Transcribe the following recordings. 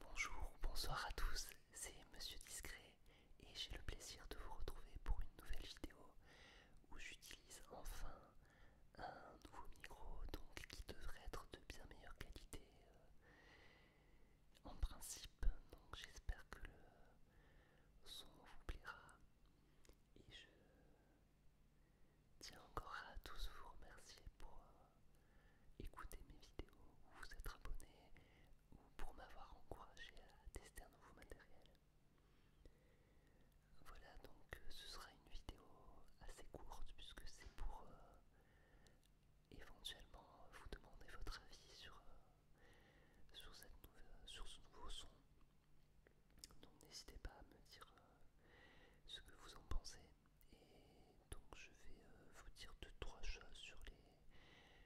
Bonjour bonsoir à tous, c'est Monsieur Discret et j'ai le plaisir de vous retrouver pour une nouvelle vidéo où j'utilise enfin un nouveau micro donc qui devrait être de bien meilleure qualité euh, en principe donc j'espère que le son vous plaira et je Tiens encore à tous vous remercier pour euh, écouter mes vidéos, vous être abonné ou pour m'avoir encouragé à tester un nouveau matériel. Voilà donc euh, ce sera une vidéo assez courte puisque c'est pour euh, éventuellement vous demander votre avis sur, sur, ce nouveau son. Donc n'hésitez pas à me dire ce que vous en pensez. Et donc je vais euh, vous dire deux trois choses sur les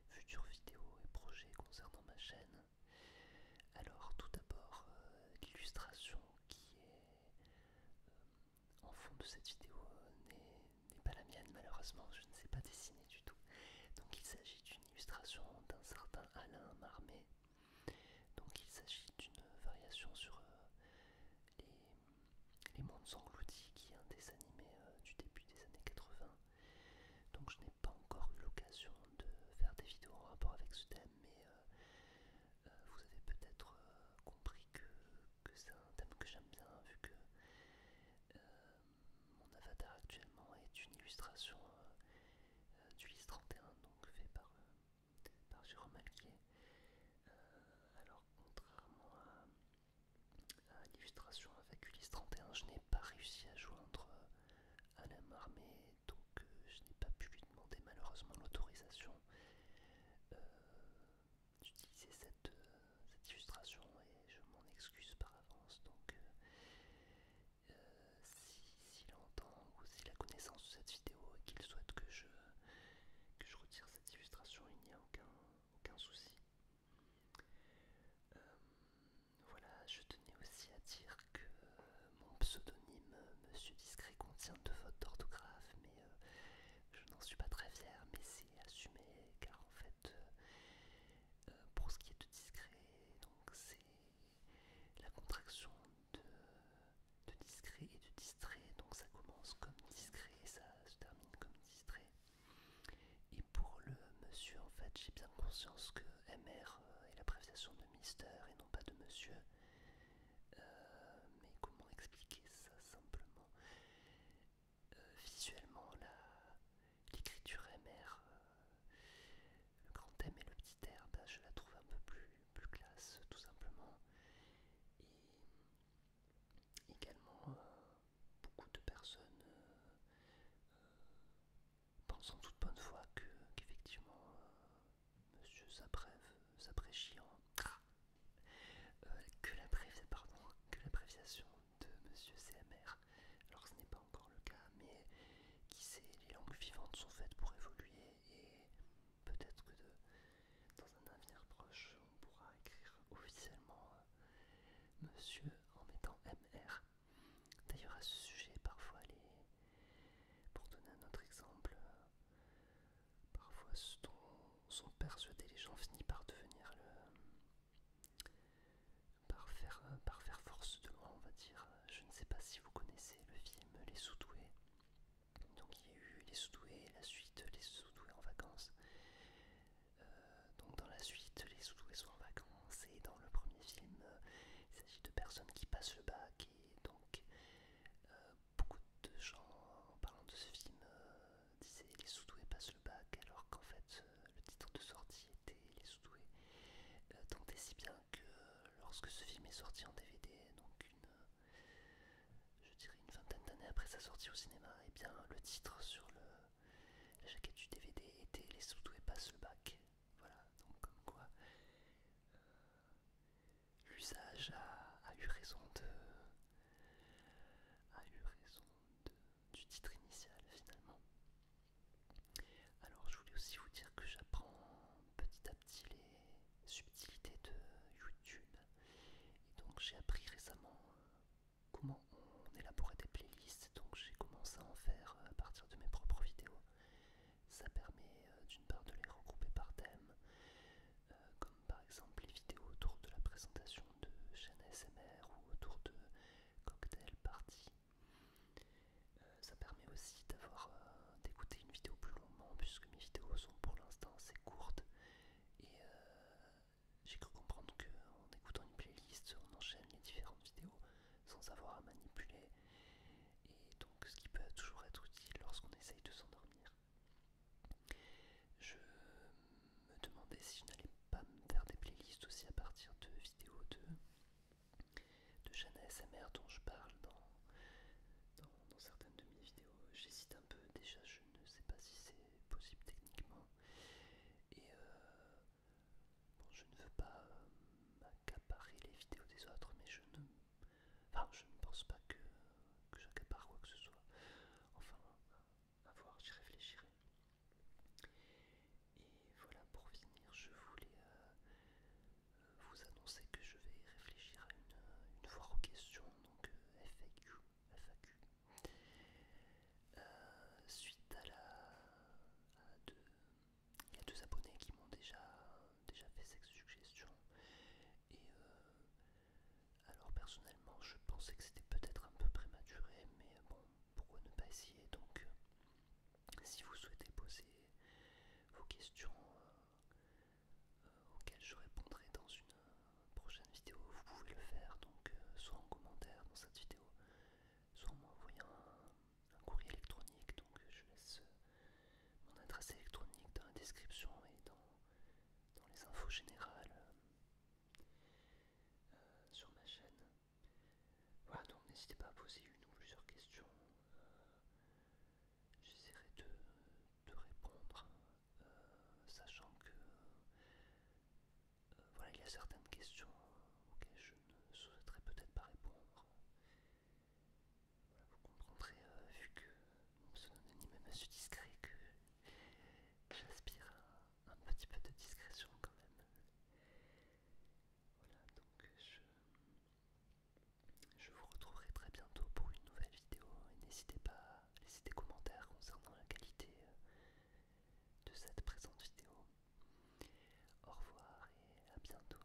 futures vidéos et projets concernant ma chaîne. Alors tout d'abord euh, l'illustration qui est euh, en fond de cette vidéo n'est pas la mienne malheureusement, je ne sais pas dessiner du tout. Donc il s'agit d'une illustration d'un certain Alain Marmé. Donc il s'agit d'une variation sur euh, les, mondes engloutis qui est un dessin animé euh, du début des années 80. Donc je n'ai pas encore eu l'occasion de faire des vidéos en rapport avec ce thème, mais euh, vous avez peut-être compris que, c'est un thème que j'aime bien, vu que mon avatar actuellement est une illustration du LIS 31, donc fait par, par euh, alors, contrairement à, l'illustration avec Ulysse 31, je n'ai pas réussi à joindre à euh, la marmée donc euh, je n'ai pas pu lui demander malheureusement l'autorisation d'utiliser cette, illustration et je m'en excuse par avance. Donc, s'il entend ou s'il a connaissance de cette vidéo et qu'il souhaite que je, je retire cette illustration, il n'y a aucun, aucun souci. Euh, voilà, je tenais aussi à dire que euh, mon pseudonyme Monsieur Discret contient deux votes d'orthographe, mais euh, je n'en suis pas très fier, mais c'est assumé car en fait, pour ce qui est de discret, donc c'est la contraction de, de discret et de distrait. Donc ça commence comme discret et ça se termine comme distrait. Et pour le monsieur, en fait, j'ai bien conscience que MR euh, est la préviation de Mister et non pas de monsieur. Euh, mais comment expliquer ça simplement euh, Visuellement, là l'écriture MR, euh, le grand M et le petit R, je la trouve un peu plus, plus classe, tout simplement. Et également, euh, beaucoup de personnes euh, pensent toute bonne foi qu'effectivement, monsieur s'apprécie ah, en. que la pardon, que l'appréciation de Monsieur CMR. Alors ce n'est pas encore le cas, mais qui sait, les langues vivantes sont faites pour évoluer et peut-être que dans un avenir proche, on pourra écrire officiellement euh, Monsieur en mettant MR. D'ailleurs à ce sujet, parfois les... Pour donner un autre exemple, euh, parfois ce dont sont persuadés les gens finit par devenir le euh, par faire, force de moi on va dire. Je ne sais pas si vous connaissez le film Les Soudoués. Donc il y a eu Les Soudoués, la suite Les Soudoués en vacances. Euh, donc dans la suite, Les Soudoués sont en vacances. Et dans le premier film, il s'agit de personnes qui passent le bac. Et donc euh, beaucoup de gens, en parlant de ce film, disait Les Soudoués passent le bac, alors qu'en fait euh, le titre de sortie était Les Soudoués. doués euh, tant et si bien que lorsque ce film est sorti en DVD, donc une, euh, je dirais une vingtaine d'années après sa sortie au cinéma, et eh bien le titre sur le, la jaquette du DVD était Les Soudoués passent le bac. Voilà, donc comme quoi l'usage a, a eu raison de a eu raison de du titre initial finalement. Alors je voulais aussi vous dire que j'apprends petit à petit les subtilités de YouTube. Et donc j'ai appris récemment euh, comment on élaborait des playlists, donc j'ai commencé à en faire euh, à partir de mes propres vidéos. Ça permet euh, d'une part de les regrouper par thème, par exemple les vidéos autour de la présentation de chaînes SMR ou autour de cocktail party. Euh, ça permet aussi d'avoir euh, d'écouter une vidéo plus longuement puisque mes vidéos sont pour l'instant assez courtes et euh, j'ai cru comprendre qu'en écoutant une playlist on enchaîne les différentes vidéos sans avoir à manipuler et donc ce qui peut toujours être utile lorsqu'on essaye de s'endormir. Je me demandais si je n'allais pas me faire des playlists aussi à partir de vidéos de, de chaînes ASMR dont je parle dans, certaines de mes vidéos. J'hésite un peu déjà, je ne sais pas si c'est possible techniquement. Et euh, bon, je ne veux pas euh, m'accaparer les vidéos des autres, mais je ne, enfin, je ne pense pas que j'accapare quoi que ce soit. Enfin, à voir, j'y réfléchirai. Et voilà, pour finir, je voulais euh, euh, vous annoncer que je vais réfléchir à une, une aux questions, donc euh, FAQ. FAQ. suite à la. deux, il y a deux abonnés qui m'ont déjà, déjà fait cette suggestion. Et alors personnellement, je pensais que c'était peut-être un peu prématuré, mais euh, bon, pourquoi ne pas essayer Donc, euh, si vous souhaitez poser vos questions euh, auxquelles je répondrai dans une prochaine vidéo, vous pouvez le faire, donc soit en commentaire dans cette vidéo, soit en m'envoyant un, courrier électronique, donc je laisse mon adresse électronique dans la description et dans dans les infos générales euh, sur ma chaîne. Voilà, donc n'hésitez pas à poser une ou plusieurs questions. Euh, j'essaierai de, répondre, euh, sachant que voilà, il y a certaines questions auxquelles je ne souhaiterais peut-être pas répondre. Vous comprendrez, euh, vu que mon pseudonyme est su discret, que j'aspire à un petit peu de discrétion quand même. Voilà, donc je, je vous retrouverai très bientôt pour une nouvelle vidéo n'hésitez pas à laisser des commentaires concernant la qualité euh, de cette présente vidéo. Au revoir et à bientôt.